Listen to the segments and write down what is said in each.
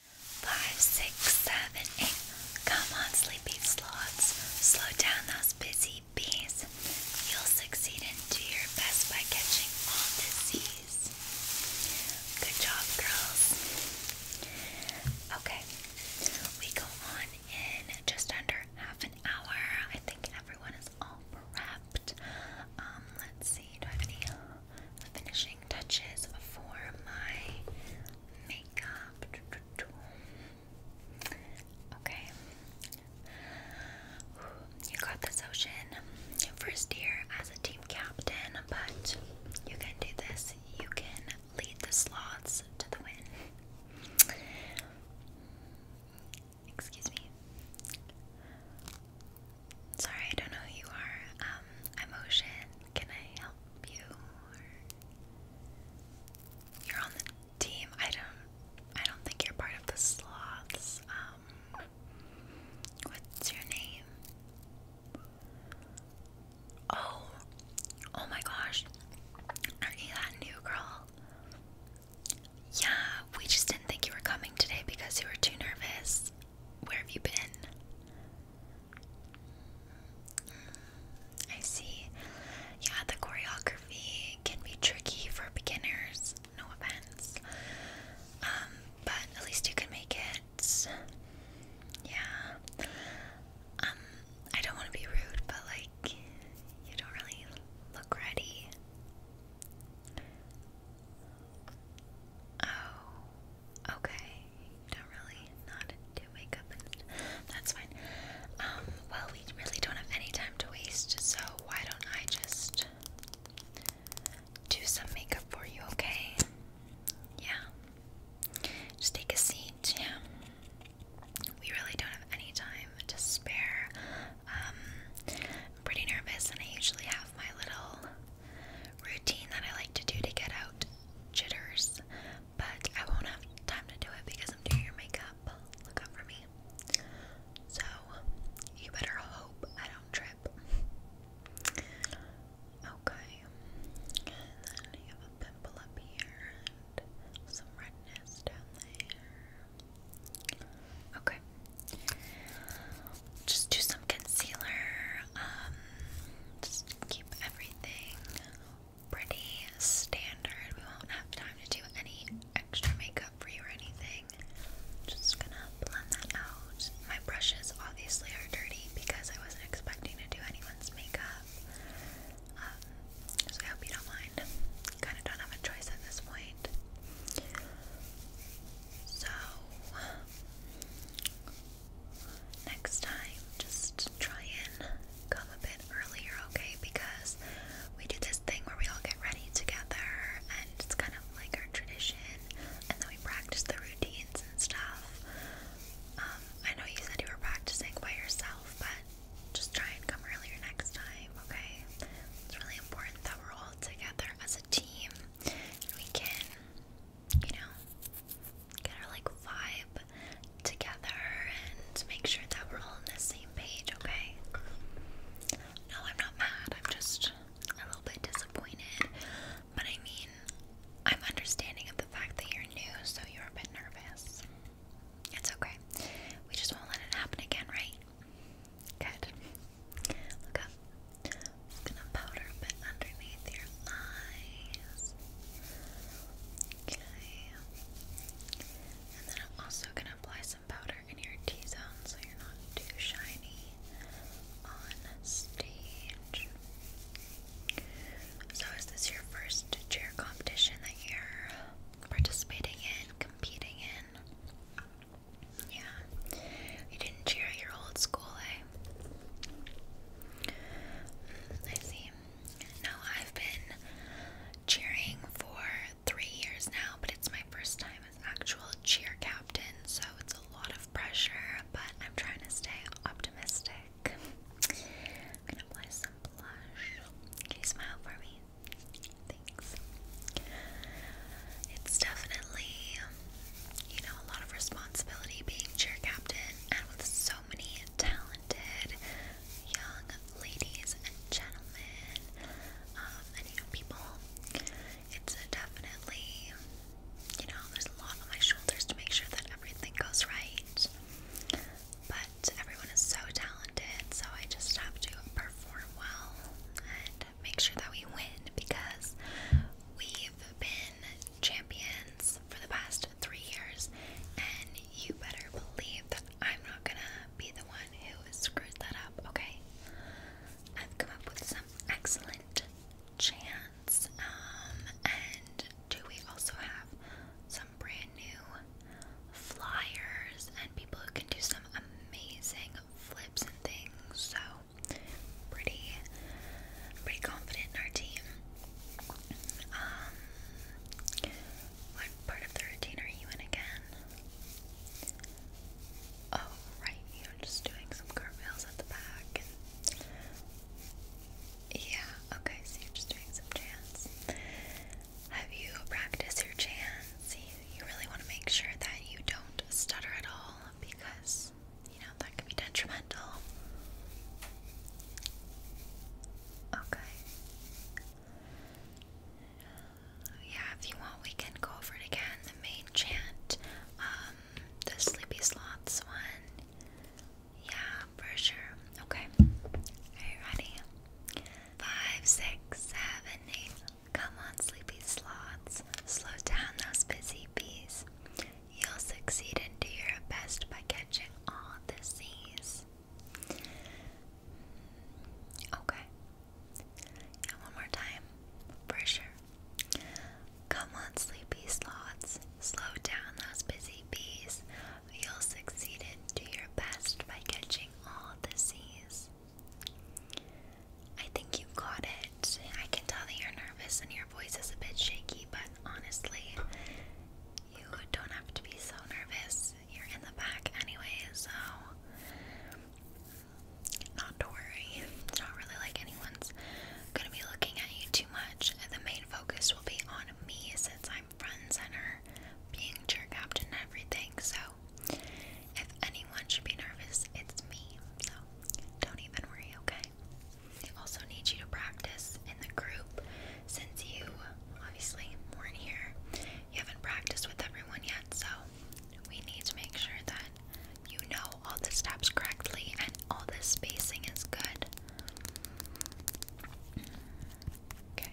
Five, six, seven, eight. Come on, sleepy sloths. Slow down those busy bees. You'll succeed and do your best by catching all disease. Good job, girls. Okay, we go on in just under half an hour. I think everyone is all prepped. Um, let's see. Do the finishing touches for my makeup. Okay. You got this, Ocean. First year as a team captain, but you can do this. You can lead the sloths to the win. Excuse me. Sorry, I don't know who you are. Um, Can I help you? You're on the team. I don't. I don't think you're part of the sloths. Um, what's your name? Oh, oh my gosh! are you that new girl? Yeah, we just didn't think you were coming today because you were too nervous. Where have you been? I see. Yeah, the choreography can be tricky for beginners, no offense. Um, but at least you can make it. Yeah. Um, I don't want to be rude, but like, you don't really look ready. Oh, okay. Don't really not do makeup. That's fine. Um, well, we really don't have any time to waste, so why don't I just do some makeup for you, okay? Yeah. Just take a seat, yeah. We really don't have any time to spare. Um, I'm pretty nervous, and I usually have my little routine that I like to do to get out jitters, but I won't have time to do it because I'm doing your makeup. Look out for me. So, you better hope I don't trip. Okay. And then you have a pimple up here and some redness down there. Okay just do some concealer. Um, just keep everything pretty standard. We won't have time to do any extra makeup for you or anything. Just gonna blend that out. My brushes obviously are dirty because I wasn't expecting to do anyone's makeup. Um, so I hope you don't mind. Kind of don't have a choice at this point. So next time just try and come a bit earlier, okay? Because we do this thing where we all get ready together and it's kind of like our tradition and then we practice the routines and stuff. Um, I know you said you were practicing by yourself, but just try and come earlier next time, okay? It's really important that we're all together as a team we can you know, get our like vibe together and make sure that we're all on the same page, okay? No, I'm not mad. I'm just a little bit disappointed. But I mean, I'm understanding of the fact that you're new, so you're a bit nervous. It's okay. We just won't let it happen again, right? Good. Look I'm gonna powder a bit underneath your eyes. Okay. And then I'm also gonna apply some powder in your T-zone so you're not too shiny on stage. So is this your first cheer competition that you're participating in, competing in? Yeah. You didn't cheer at your old school, eh? Mm, I see. No, I've been cheering for three years now, but it's my first time as actual cheer captain, so it's a lot of pressure, but I'm trying to stay optimistic. I'm gonna apply some blush. Can you smile for me? Thanks. It's definitely you know, a lot of responsibility being chair captain, and with so many talented young ladies and gentlemen, um, and you know, people, it's a definitely, you know, there's a lot on my shoulders to make sure that everything goes right. But everyone is so talented, so I just have to perform well make sure that we win because we've been champions for the past three years, and you better believe that I'm not gonna be the one who screws that up, okay? I've come up with some excellent chants, um, and do we also have some brand new flyers and people who can do some amazing flips and things? So pretty pretty confident in our team. Um, what part of the routine are you in again? Oh right, you're just doing some cartwheels at the back yeah, okay, so you're just doing some chants. Have you practiced your chants? You, you really want to make sure that you don't stutter at all because you know that can be detrimental. Okay. Yeah, if you want, we can go over it again. The main chant, um, the sleepy sloths one. Yeah, for sure. Okay. Are you ready? Five, six, seven, eight. Come on, sleepy sloths, slow down those busy bees. You'll succeed and do your best by catching all the seas. Okay. Yeah, one more time. For sure. Come on, sleepy sloths, slow down those busy bees. You'll succeed and do your best by catching all the seas. I think you got it. I can tell that you're nervous and your voice is a bit shaky, but honestly, you don't have to be so nervous. You're in the back anyway, so not to worry. It's not really like anyone's gonna be looking at you too much. The main focus will be on me since I'm front and center, being jerk captain and everything. So if anyone should be nervous, it's me. So don't even worry, okay? I also need you to practice in the group since you obviously weren't here. You haven't practiced with everyone yet, so we need to make sure that you know all the steps correctly and all the spacing is good. Okay.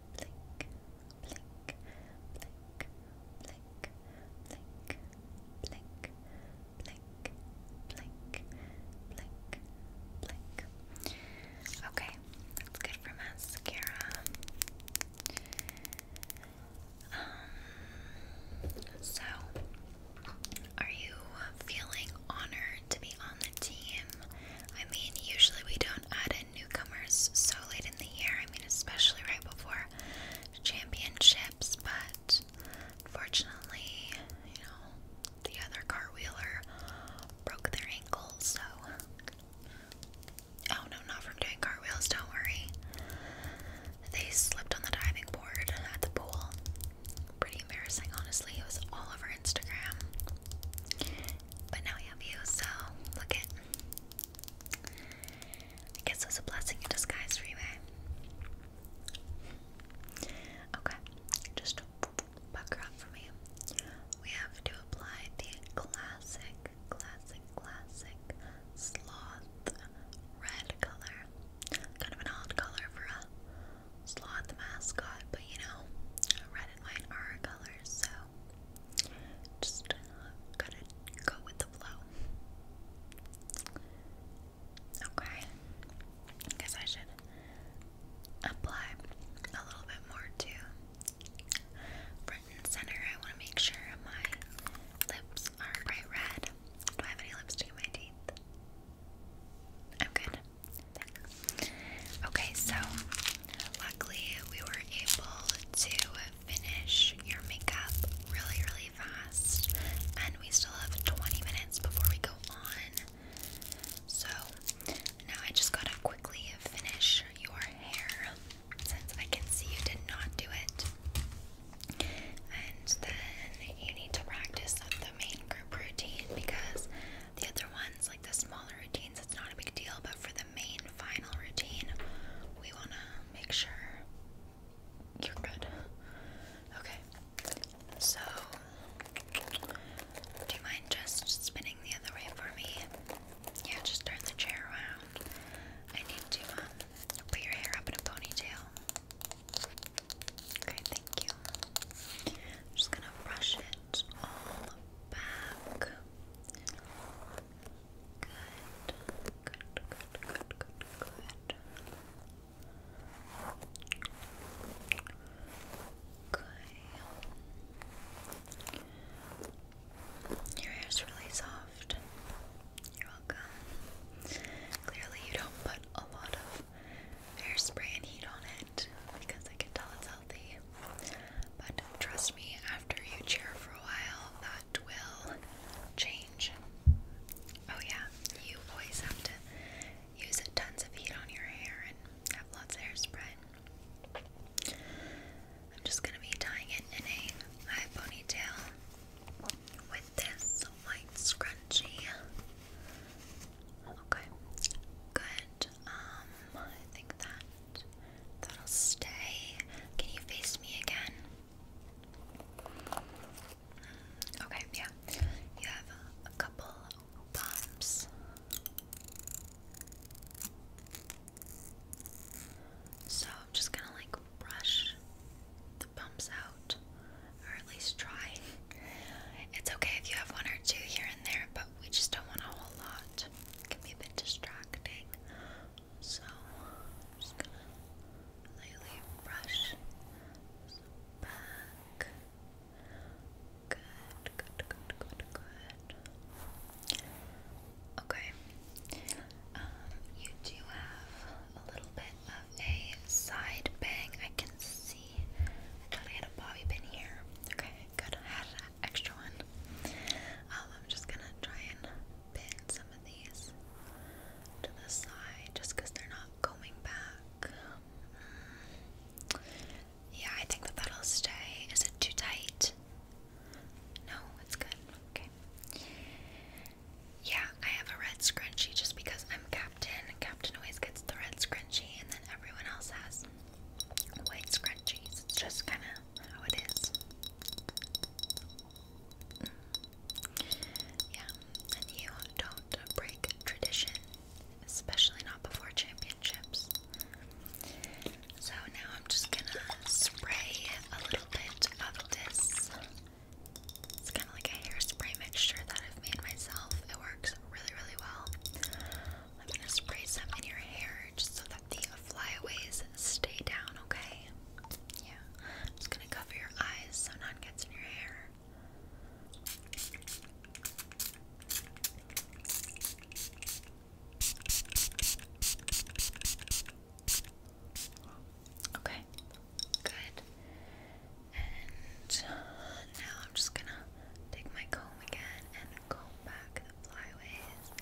blink, blink, blink, blink, blink, blink, blink, blink, blink, blink. Okay, that's good for mascara. Um, so, are you feeling honored to be on the team? I mean, usually we don't add newcomers so late in the year. I mean, especially right before championships, but fortunately, you know, the other car wheeler broke their ankle, so. Oh no, not from doing cartwheels, don't worry. They slipped on the diving board at the pool. Pretty embarrassing, honestly. It was all over Instagram. But now we have you, so look it. I guess it's a blessing in disguise for eh? Okay, just buck her up for me. We have to apply the classic, classic, classic sloth red color. Kind of an odd color for a sloth mascot, but you know, red and white are our colors, so just uh, to go with the flow. Okay, I guess I should apply a little bit more to front and center. I want to make sure my lips are bright red. Do I have any lipstick in my teeth? I'm good. Okay, so luckily we were able to finish your makeup really, really fast, and we still have 20 minutes before we go on. So now I just gotta quickly finish your hair since I can see you did not do it. And then you need to practice the main group routine because the other ones, like the smaller routines, it's not a big deal, but for the main final routine, we want to make sure you're good. Okay, so do you mind just spinning the other way for me? Yeah, just turn the chair around. I need to um, put your hair up in a ponytail. Okay, thank you. I'm just gonna brush it all back. Good. Good, good, good, good, good. Okay. Your hair's really soft. You're welcome. Clearly, you don't put a lot of hairspray and heat on it because I can tell it's but trust me, after you cheer for a while, that will change. Oh, yeah, you always have to use tons of heat on your hair and have lots of hairspray. I'm just gonna be tying it in a high ponytail with this white scrunchie. Okay, good. Um, I think that that'll stay. Can you face me again? Okay, yeah. You have a couple bumps. So I'm just gonna like brush the bumps out, or at least try. It's okay if you have one or two here and there, but we just don't want a whole lot. can be a bit distracting. So, just gonna lightly brush back. Good, good, good, good, good. Okay. Um, you do have a little bit of a side bang. I can see. I totally had a bobby pin here. Okay could had an extra one. Um, I'm just gonna try and pin some of these to the side just they're not going back. Mm. Yeah, I think that that'll stay. Is it too tight? No, it's good. Okay. Yeah, I have a red scrunchie just because I'm captain captain always gets the red scrunchie and then everyone else has white scrunchies. It's just kind of how it is. Mm. Yeah, and you don't break tradition, especially not before championships. So now I'm just gonna spray a little bit of this. It's kind of like a hairspray mixture that I've made myself. It works really, really well. I'm gonna spray some in your hair just so that the flyaways stay down, okay? Yeah. I'm just gonna cover your eyes so none gets in your hair. Okay, good. And now I'm just gonna take my comb again and comb back the flyaways.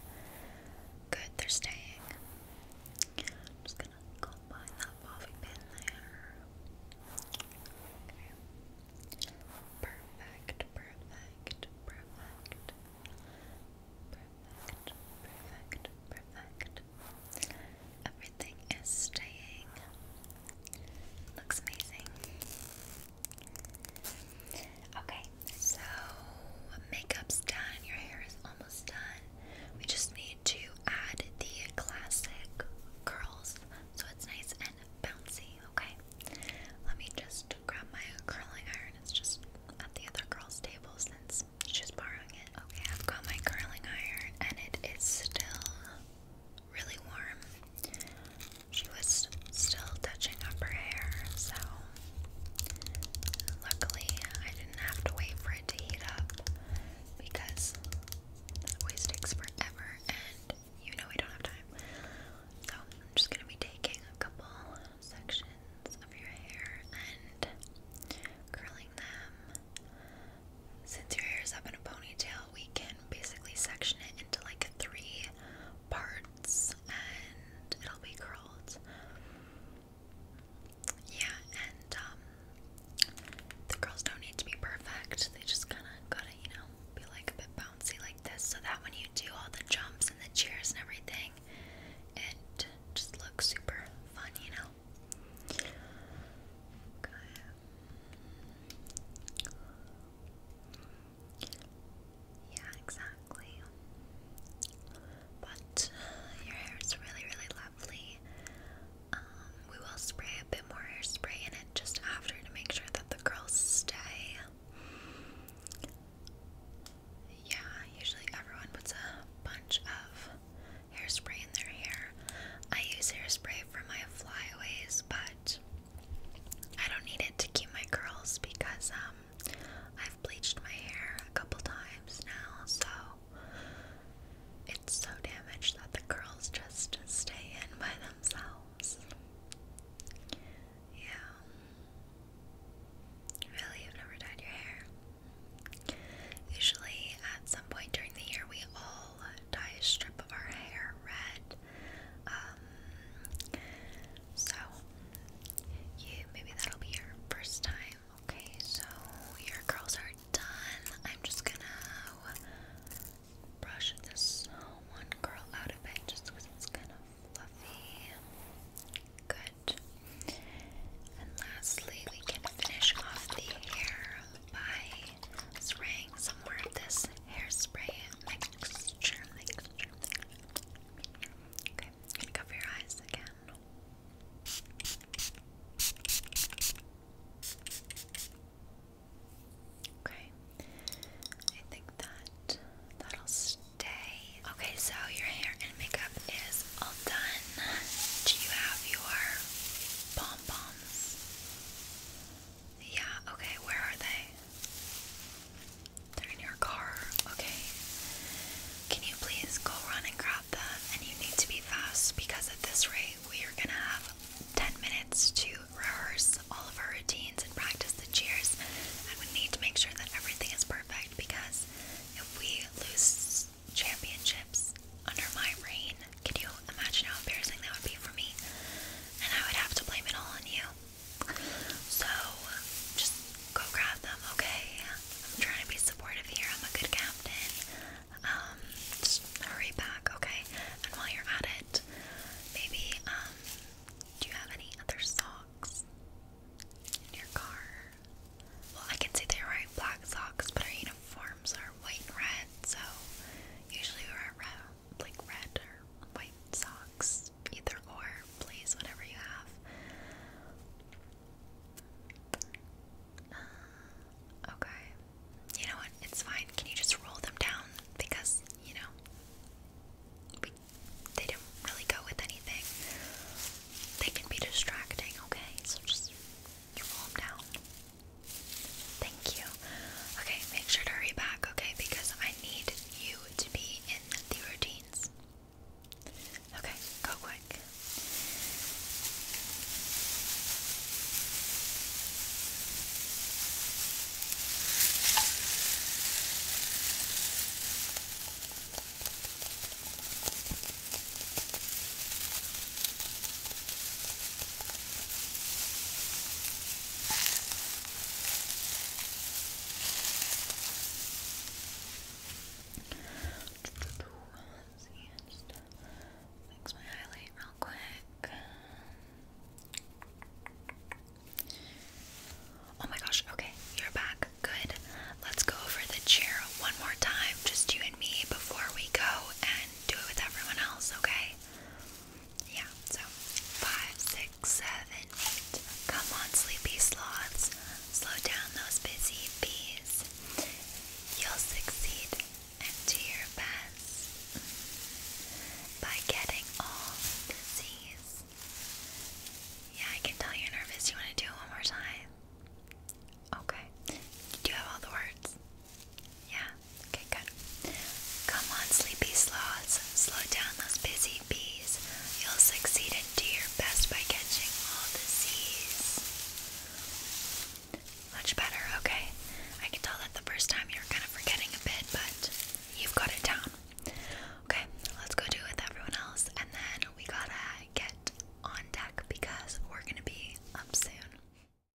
Good, they're staying. I'm just gonna comb behind that bobby pin there. Perfect, perfect, perfect. Perfect, perfect, perfect. Everything is staying. Looks amazing. Okay, so makeup's done, your hair is almost done. We just need to add the classic curls so it's nice and bouncy, okay? Let me just grab my curling iron. It's just at the other girl's table since she's borrowing it. Okay, I've got my curling iron and it is still really warm she was still touching up her hair, so luckily I didn't have to wait for it to heat up because it always takes forever and you know we don't have time. So I'm just gonna be taking a couple sections of your hair and curling them. Since your hair is up in a ponytail, we can basically section it into like three parts and it'll be curled. Yeah, and um, the curls don't need to be perfect. They just kind of gotta, you know, be like a bit bouncy like this so that when you do all the jumps and the cheers and everything, it just looks super fun, you know? Okay. Yeah, exactly. But your hair is really, really lovely. Um, we will spray a bit more hairspray in it just after to make sure that the curls stay. Yeah, usually everyone puts a bunch of hairspray in their hair. I use hairspray for my flyaways, but I don't need it to keep my curls because um I've bleached my hair a couple times now, so it's so damaged that the curls just stay in by themselves. Yeah. Really, you've never dyed your hair? Usually, at some point during the year, we all dye a strip of our hair red. Um, so, you maybe that'll be your first time. Okay, so your curls are done. I'm just gonna brush this one curl out of it just it's kind of fluffy. Good. And lastly, we can finish off the hair by spraying some more of this hairspray mixture, Okay, i cover your eyes again. Okay, I think that that'll stay. Okay, so your hair and makeup is all done. Do you have your pom poms? Yeah, okay, where are they? They're in your car. Okay. Can you please go run and grab them? And you need to be fast because at this rate, we are gonna have 10 minutes to rehearse all of our routines and practice the cheers. And we need to make sure that everything is perfect because if we lose championships under my reign, can you imagine how embarrassing that would be for me? And I would have to blame it all on you. So, just go grab them, okay? I'm trying to be supportive here. I'm a good captain. Um, just hurry back, okay? And while you're at it, maybe, um, do you have any other socks in your car? Well, I can see they're wearing black socks, but our uniforms are white and red, so usually we're around like red or white socks, either or, please, whatever you have. Uh, okay. You know what? It's fine. Can you just roll them down? Because, you know, we, they don't really go with anything. They can be distracting, okay? So just roll them down. Thank you. Okay, make sure to hurry back, okay? Because I need you to be in the routines. Okay, go quick. Let's see, just fix my highlight real quick. Oh my gosh, okay, you're back. Good. Let's go over the chair one more time, just you and me, before we go and do it with everyone else, okay? yeah, so five, six, seven, eight. Come on, sleepy sloths. Slow down those busy bees. You'll succeed and do your best by getting all disease. Yeah, I can tell you're nervous. You want to do it one more time? Okay. Do you have all the words? Yeah. Okay, good. Come on, sleepy sloths. Slow down those busy bees. You'll succeed and do your best by catching all the disease. Much better, okay. I can tell that the first time you were kind of forgetting a bit, but you've got it down. Okay, let's go do it with everyone else, and then we gotta get on deck because we're gonna be up soon.